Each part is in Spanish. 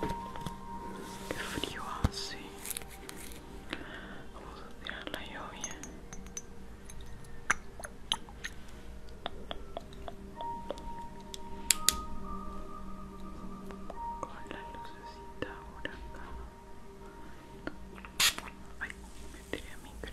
Qué frío hace. Vamos a tirar la lluvia. Con la lucecita por acá. Ay, me tiré a micro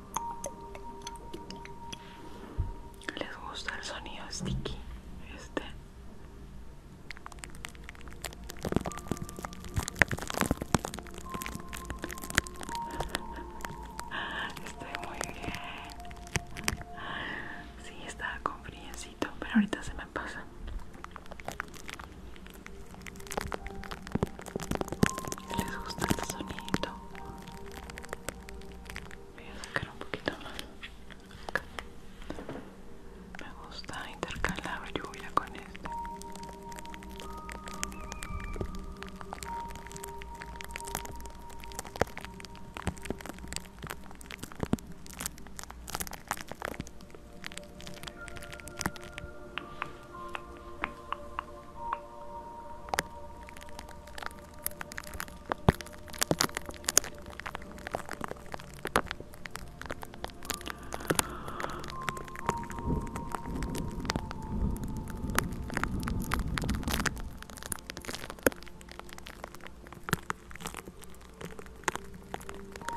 les gusta el sonido sticky este estoy muy bien Sí, estaba con friecito pero ahorita se me pasa les gusta el sonido voy a sacar un poquito más me gusta intercalar lluvia con este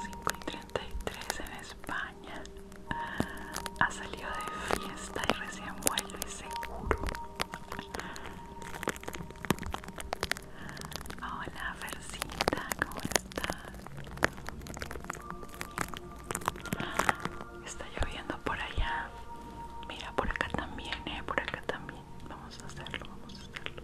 y tres en España. Ha salido de fiesta y recién vuelve seguro. Hola, Versita, ¿cómo estás? Está lloviendo por allá. Mira, por acá también, eh, por acá también. Vamos a hacerlo, vamos a hacerlo.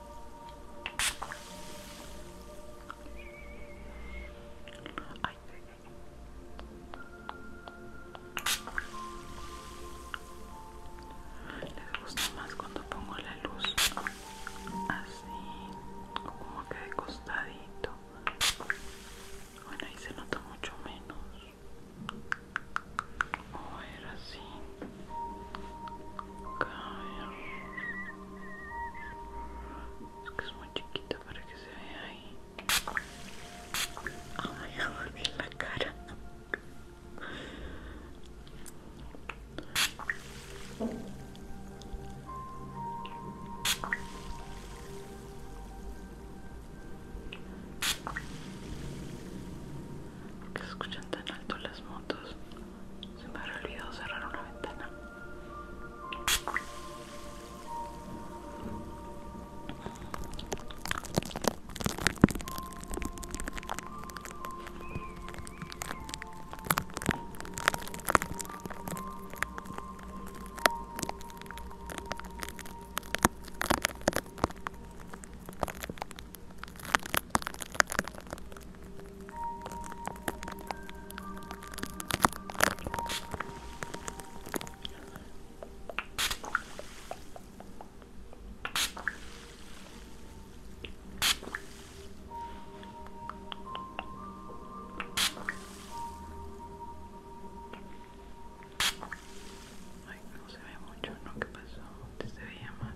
Le Les gusta más cuando pongo la luz así, como que de costadito. Bueno, ahí se nota mucho menos. O era así. Es que es muy chiquita para que se vea ahí. Ay, a la cara. Que escuchan tan alto las motos. Se me ha olvidado cerrar una ventana. Ay, no se ve mucho, ¿no? ¿Qué pasó? ¿Te se veía más?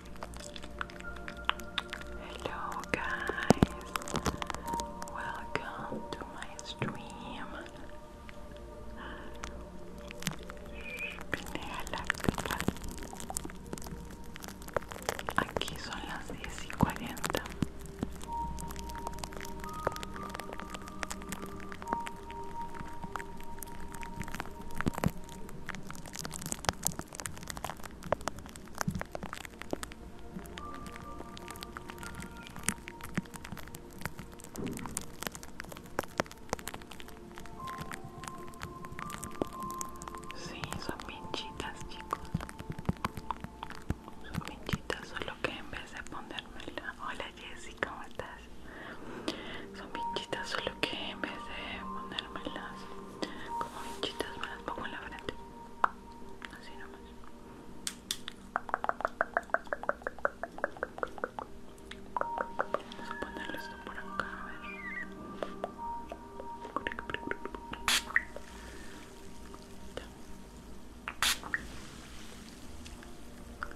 Hello, guys, welcome to my stream. Vine la cama. Aquí son las 10 y 40. Sí, son pinchitas, chicos. Son pinchitas, solo que en vez de ponérmela. Hola, Jessy, ¿cómo estás? Son pinchitas, solo que en vez de las, como pinchitas más pongo en la frente. Así nomás. Vamos a ponerle esto por acá, a ver.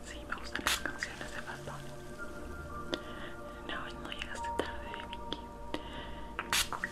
Sí, me gustan las canciones de Bad No, no llegaste tarde, Vicky.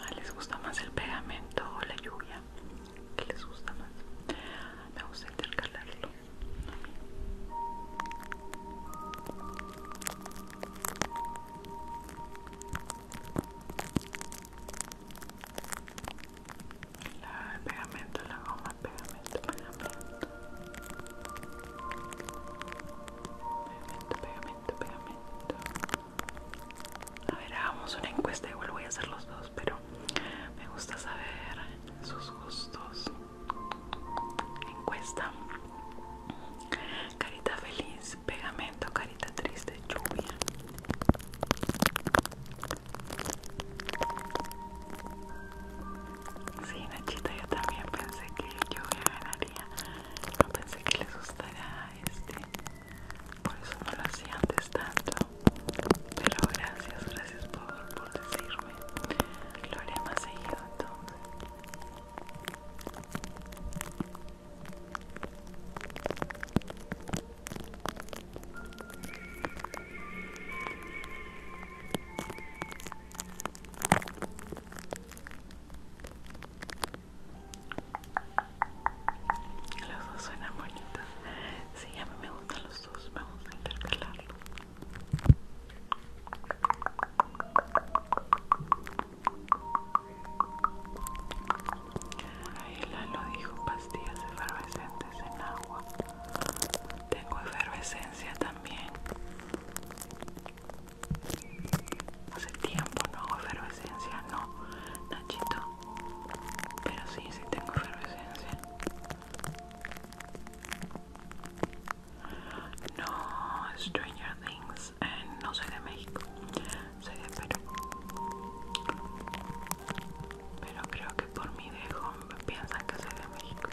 Ah, les gusta más el pegamento o la lluvia. ¿Qué les gusta más? Me gusta intercalarlo. La pegamento, la goma, pegamento, pegamento. Pegamento, pegamento, pegamento. A ver, hagamos una encuesta, igual voy a hacer los dos, pero me gusta saber sus gustos. Encuesta. Carita feliz, pegamento, carita triste, lluvia. Sí, Nachita, yo también pensé que yo ya ganaría. No pensé que les gustara este. Por eso no lo hacía antes tanto. Pero gracias, gracias por, decirme. Lo haré más seguido entonces. Los dos suenan bonitos. Sí, a mí me gustan los dos. Vamos a intercalarlos. Ahí lo dijo pastillas efervescentes en agua. Tengo efervescencia también. Hace tiempo no hago efervescencia, no, Nachito. Pero sí, sí tengo efervescencia. No, Stranger Things. Eh, no soy de México, soy de Perú. Pero creo que por mi dejo piensan que soy de México.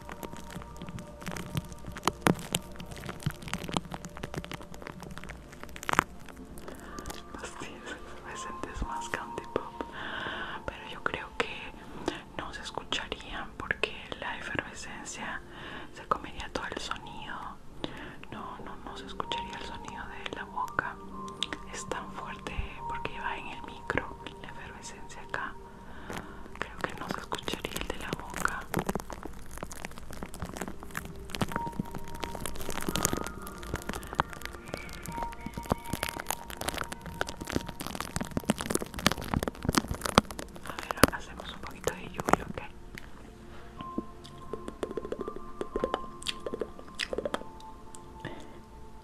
más candy pop. Pero yo creo que no se escucharían porque la efervescencia se comería todo el sonido. No, no, no se escucharía el sonido de la boca. Es tan fuerte porque va en el micro la efervescencia acá creo que no se escucharía el de la boca a ver, hacemos un poquito de lluvia, ¿ok?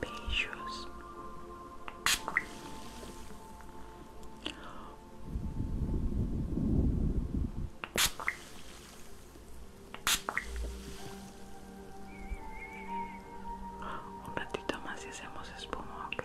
bellos un ratito más y hacemos espuma, ok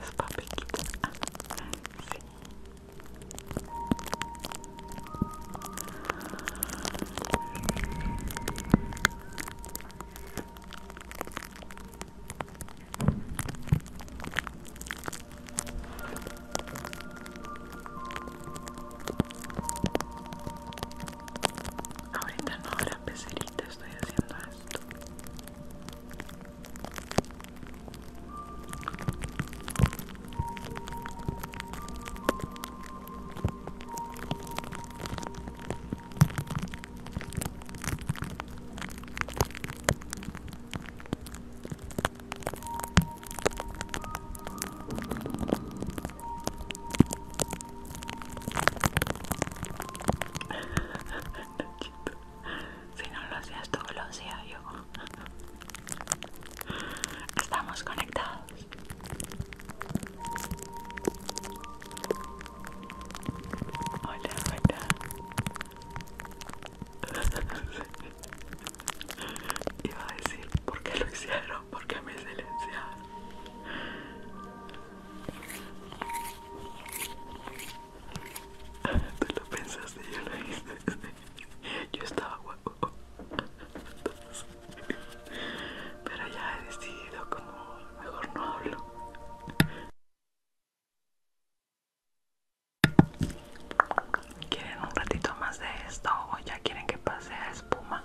Es papelito. sí. Ahorita no Peserita pecerita estoy haciendo esto si no lo hacías tú, lo hacía yo. Estamos conectados. Hola, hola. Iba a decir por qué lo hicieron porque me silenciaron. Tú lo pensaste, yo lo hice. Yo estaba guapo. pero ya he decidido como mejor no hablo. ¿Quieren un ratito más de esto o ya quieren que pase a espuma?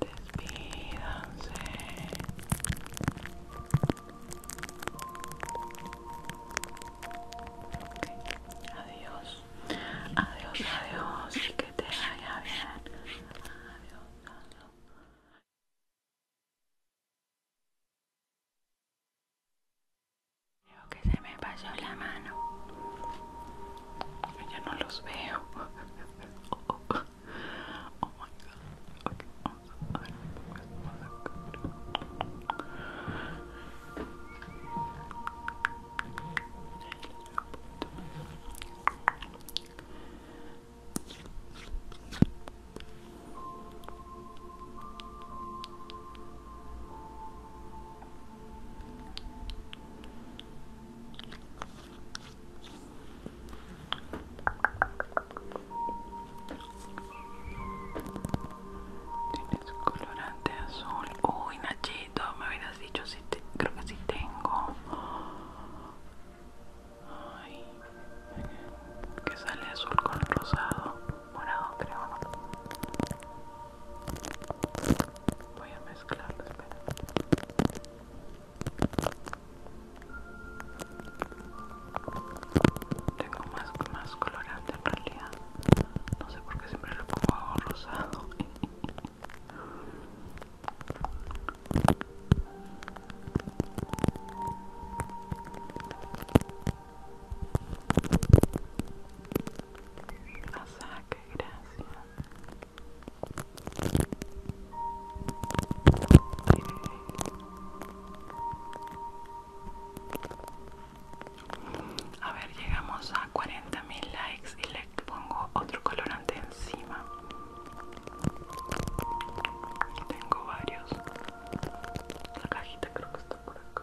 Despídanse. Okay. Adiós. Adiós, adiós. Y que te vaya bien. Adiós, adiós. Creo que se me pasó la mano. Ya no los veo. Oh Tienes colorante azul. Uy, Nachito, me hubieras dicho si creo que sí tengo. que sale azul con rosado, morado, creo. Voy a mezclar, espera. Tengo más, más colorante en realidad. No sé por qué siempre lo pongo rosado. que gracias. A ver, llegamos a 40.000 likes y le pongo otro colorante encima. Tengo varios. La cajita creo que está por acá.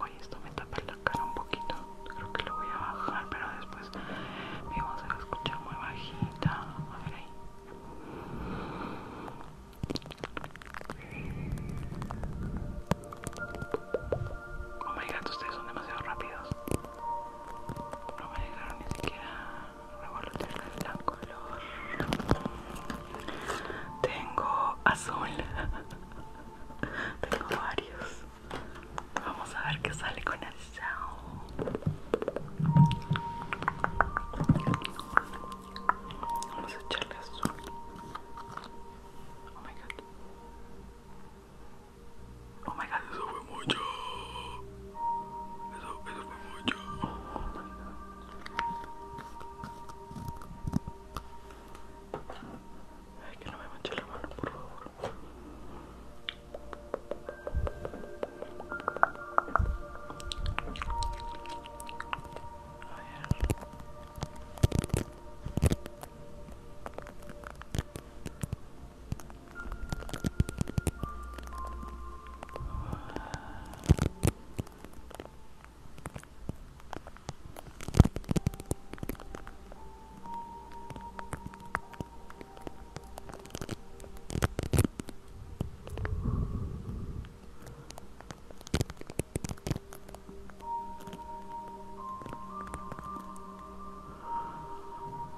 Oye, esto me tapa la cara un poquito. Creo que lo voy a bajar, pero después mi voz se escuchar muy bajita. A ver ahí. Oh my god, ustedes son demasiado rápidos. No me dejaron ni siquiera revolotear el color. Tengo azul. Tengo varios. Vamos a ver qué sale con el chao. Vamos a echarle azul. Oh my god. Oh my god, eso fue mucho. Eso, eso fue mucho. Oh my god. Ay, que no me manche la mano, por favor. A ver.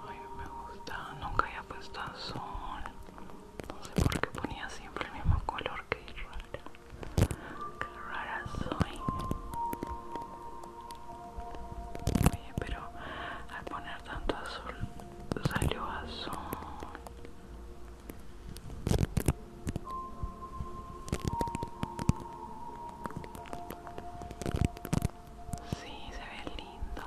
Ay, me gusta, nunca había puesto azul. No sé por qué ponía siempre el mismo color que yo. Qué rara soy. Oye, pero al poner tanto azul salió azul. Sí, se ve lindo.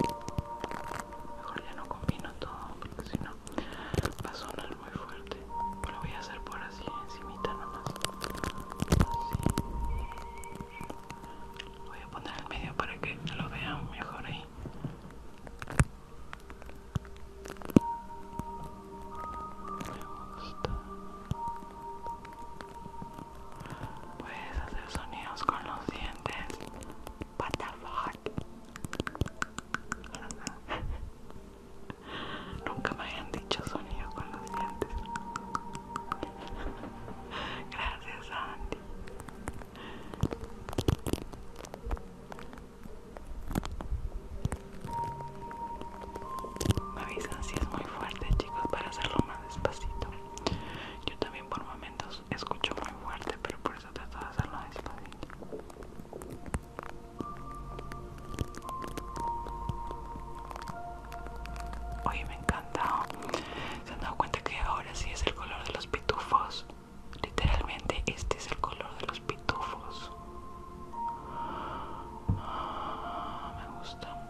Mejor ya no combino todo porque si no va a sonar muy fuerte. Lo voy a hacer por así encimita nomás. Así. Voy a poner el medio para que lo vean mejor ahí. Me gusta. Puedes hacer sonidos con los dientes. What Nunca me hayan dicho sonidos con los dientes. Gracias, Andy. Me avisan si es muy fuerte, chicos, para hacerlo más despacito. Yo también por momentos escucho muy fuerte, pero por eso trato de hacerlo despacito. Oye, me encanta. Se han dado cuenta que ahora sí es el color de los pitufos. Literalmente, este es el color de los pitufos. Ah, me gusta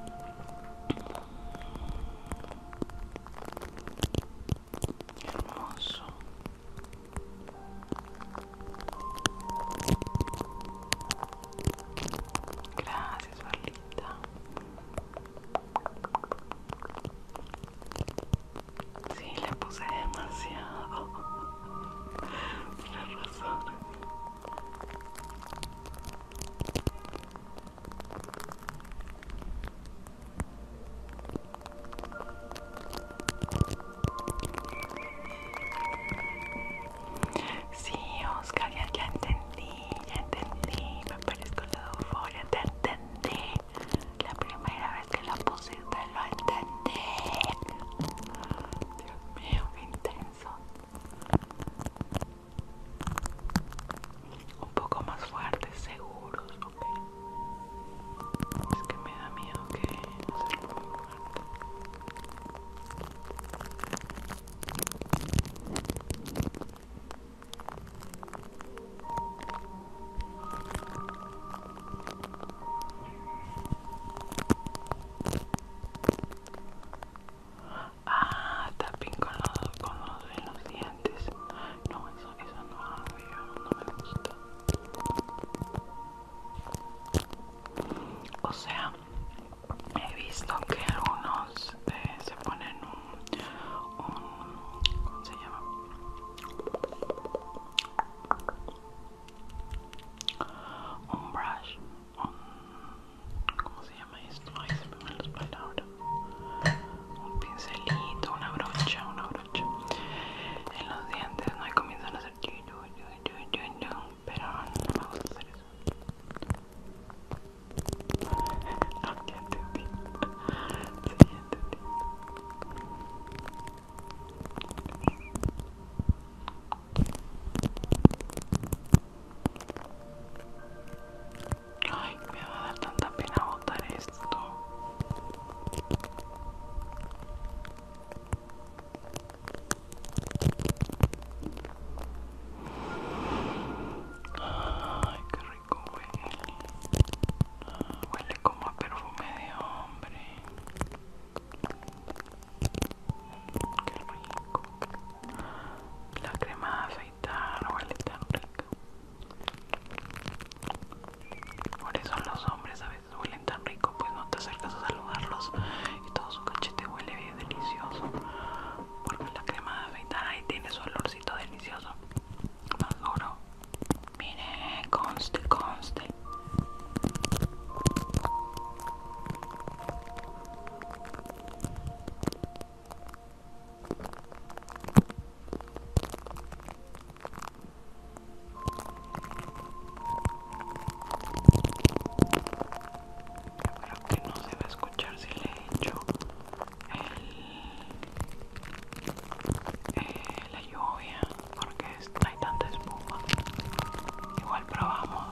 Hermoso. Gracias, Carlita. Sí, le puse demasiado. Tienes razón. Sì, Oscar, ya, entendí, ya entendí. Me parezco la euforia, te entendí. La primera vez que la pusiste lo entendí. Dios mío, intenso. un poco más fuerte, seguros, ok. Es que me da miedo que No sea muy fuerte. Ah, tapping con los, con los, dientes. No, eso, eso no me gusta. O sea, he visto que algunos eh, se ponen un, un... ¿Cómo se llama? Un brush ¿cómo se llama esto? Ay, se me van las palabras. Un pincelito, una brocha, una brocha. En los dientes no hay comienzo a hacer yo, yo, yo, yo, yo, pero no me gusta hacer eso. No, ya entendí. Sí, te entendí. Ay, me va a dar tanta pena botar esto. Ay, qué rico huele. huele como a perfume de hombre. Qué rico. La crema huele Por eso los hombres a veces huelen tan rico, pues no te acercas a saludarlos y todo su cachete huele bien delicioso. Porque la crema de afeitar ahí tiene su olorcito delicioso. Más duro. Mire, conste, conste creo que no se va a escuchar si le he hecho la lluvia porque hay tanta espuma. Igual probamos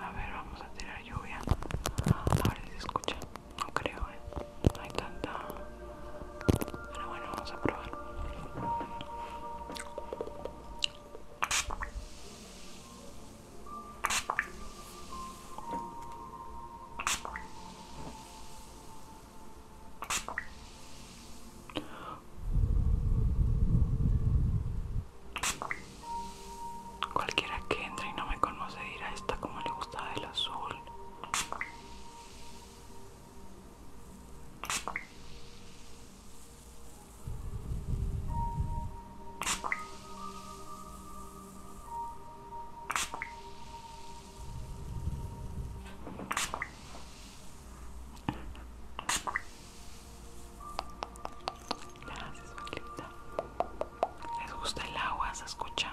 A ver, vamos a tirar lluvia. A ver si se escucha. No creo, ¿eh? No hay tanta... Pero bueno, vamos a probar. Cualquiera que entre y no me conoce dirá esta como le gusta el azul. Gracias, ¿Les gusta el agua? ¿Se escucha?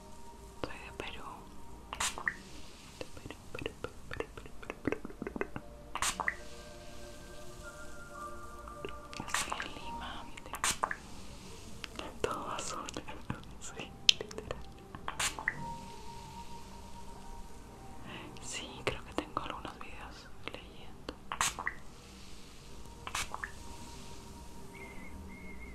Soy de Perú. De Perú, Perú, Perú, Perú, Perú, Perú, Perú, Perú. Estoy en Lima. Todo Perú, Sí, literal. Sí, creo que tengo algunos videos leyendo.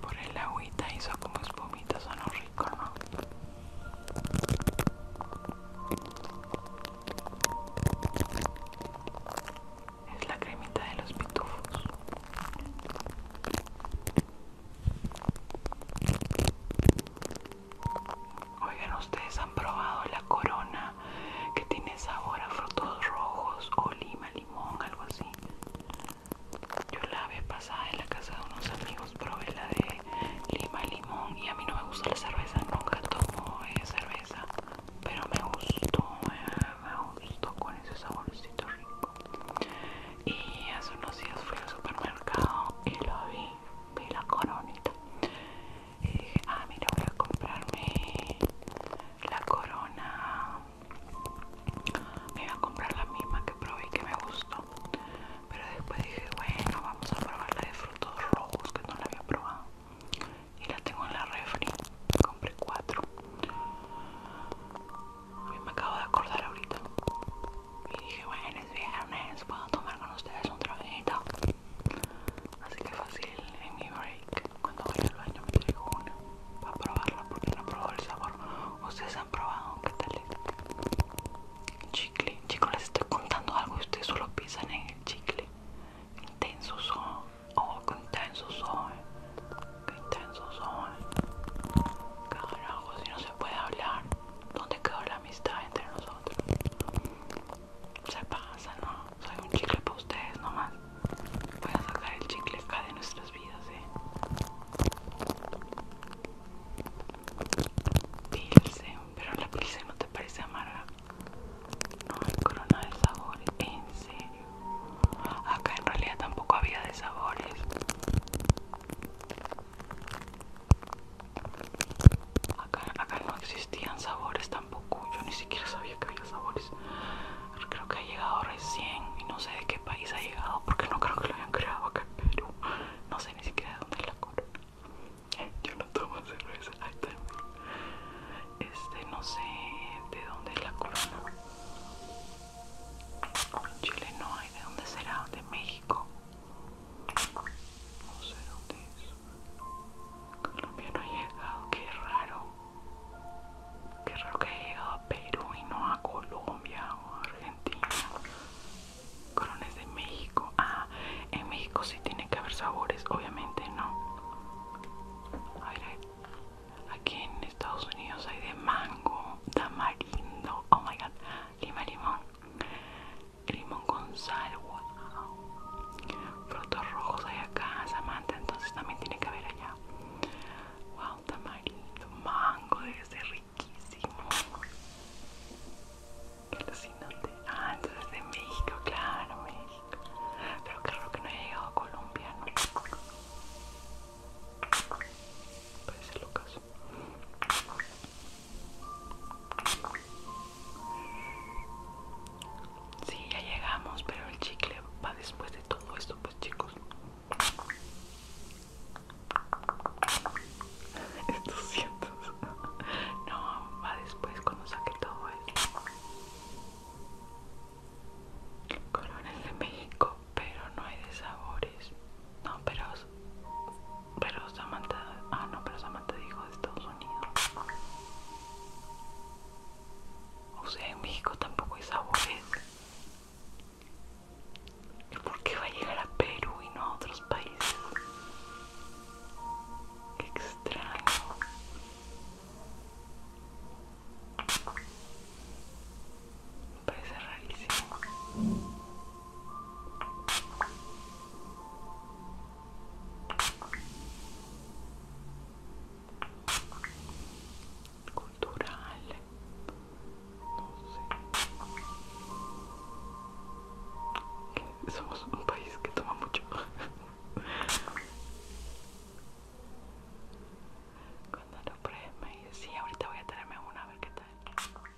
Por el agüita hizo como espumita, sonó rico, ¿no? Es la cremita de los pitufos. Oigan, ustedes han probado la corona que tiene sabor a frutos rojos o lima, limón, algo así. Yo la vi pasada en la casa de unos amigos probé la de lima, limón y a mí no me gusta la cerveza, nunca tomo cerveza, pero me gustó, me gustó con ese saborcito rico. Y hace unos días fui al supermercado y la vi, vi la coronita y eh, dije, ah, mira, voy a comprarme la corona. Me iba a comprar la misma que probé y que me gustó. Pero después dije, bueno, vamos a probar la de frutos rojos que no la había probado. Y la tengo en la refri. Compré cuatro. me acabo de acordar ahorita. Y dije, bueno, es viernes, puedo tomar con ustedes un traguito. Así que fácil, en mi break, cuando voy al baño me traigo una para probarla porque no probado el sabor. Ustedes han probado, ¿qué tal es? Chicle, chicos, les estoy contando algo y ustedes solo piensan en el chicle. Intenso son, oh, qué intenso son, qué intenso son. Carajo, si no se puede hablar, ¿dónde quedó la amistad entre nosotros? se pasa, ¿no? Soy un chicle para ustedes nomás. Voy a sacar el chicle acá de nuestras vidas, ¿eh? Pilsen, pero la pilsen no te parece amarga. No, hay corona de sabores, en serio. Acá en realidad tampoco había de sabores. Acá, no existían sabores tampoco. Yo ni siquiera sabía que había sabores. Creo que ha llegado recién y no sé de qué país ha llegado porque no creo que lo hayan creado acá en Perú. No sé ni siquiera de dónde es la corona. Yo no tomo cerveza. Este, no sé de dónde es la corona. Chile no hay. ¿De dónde será? De México. No sé dónde es. Colombia no ha llegado, qué raro. Qué raro que haya llegado a Perú y no a Colombia o Argentina. Corones de México. Ah, en México sí tiene que haber sabores, obviamente no. aquí en Estados Unidos hay de mango, tamarindo, oh my god, lima limón, limón con sal, wow. Frutos rojos hay acá, Samantha, entonces también tiene que haber allá. Wow, tamarindo, mango, debe ser riquísimo. Qué alucinante. Ah, entonces de México, claro, México. Pero qué raro que no haya llegado a Colombia, ¿no? Puede ser lo caso. Sí, ya llegamos, pero el chicle va después de todo esto, pues chicos. Estos No, va después cuando saque todo esto. Colores de México, pero no hay de sabores. No, pero pero Samantha. Ah, no, pero Samantha dijo de Estados Unidos. O sea, en México tampoco hay sabores. ¿Y por qué va a llegar a Perú y no a otros países? Qué extraño. Me parece rarísimo cultural no somos un país que toma mucho cuando lo prueben me sí ahorita voy a tenerme una a ver qué tal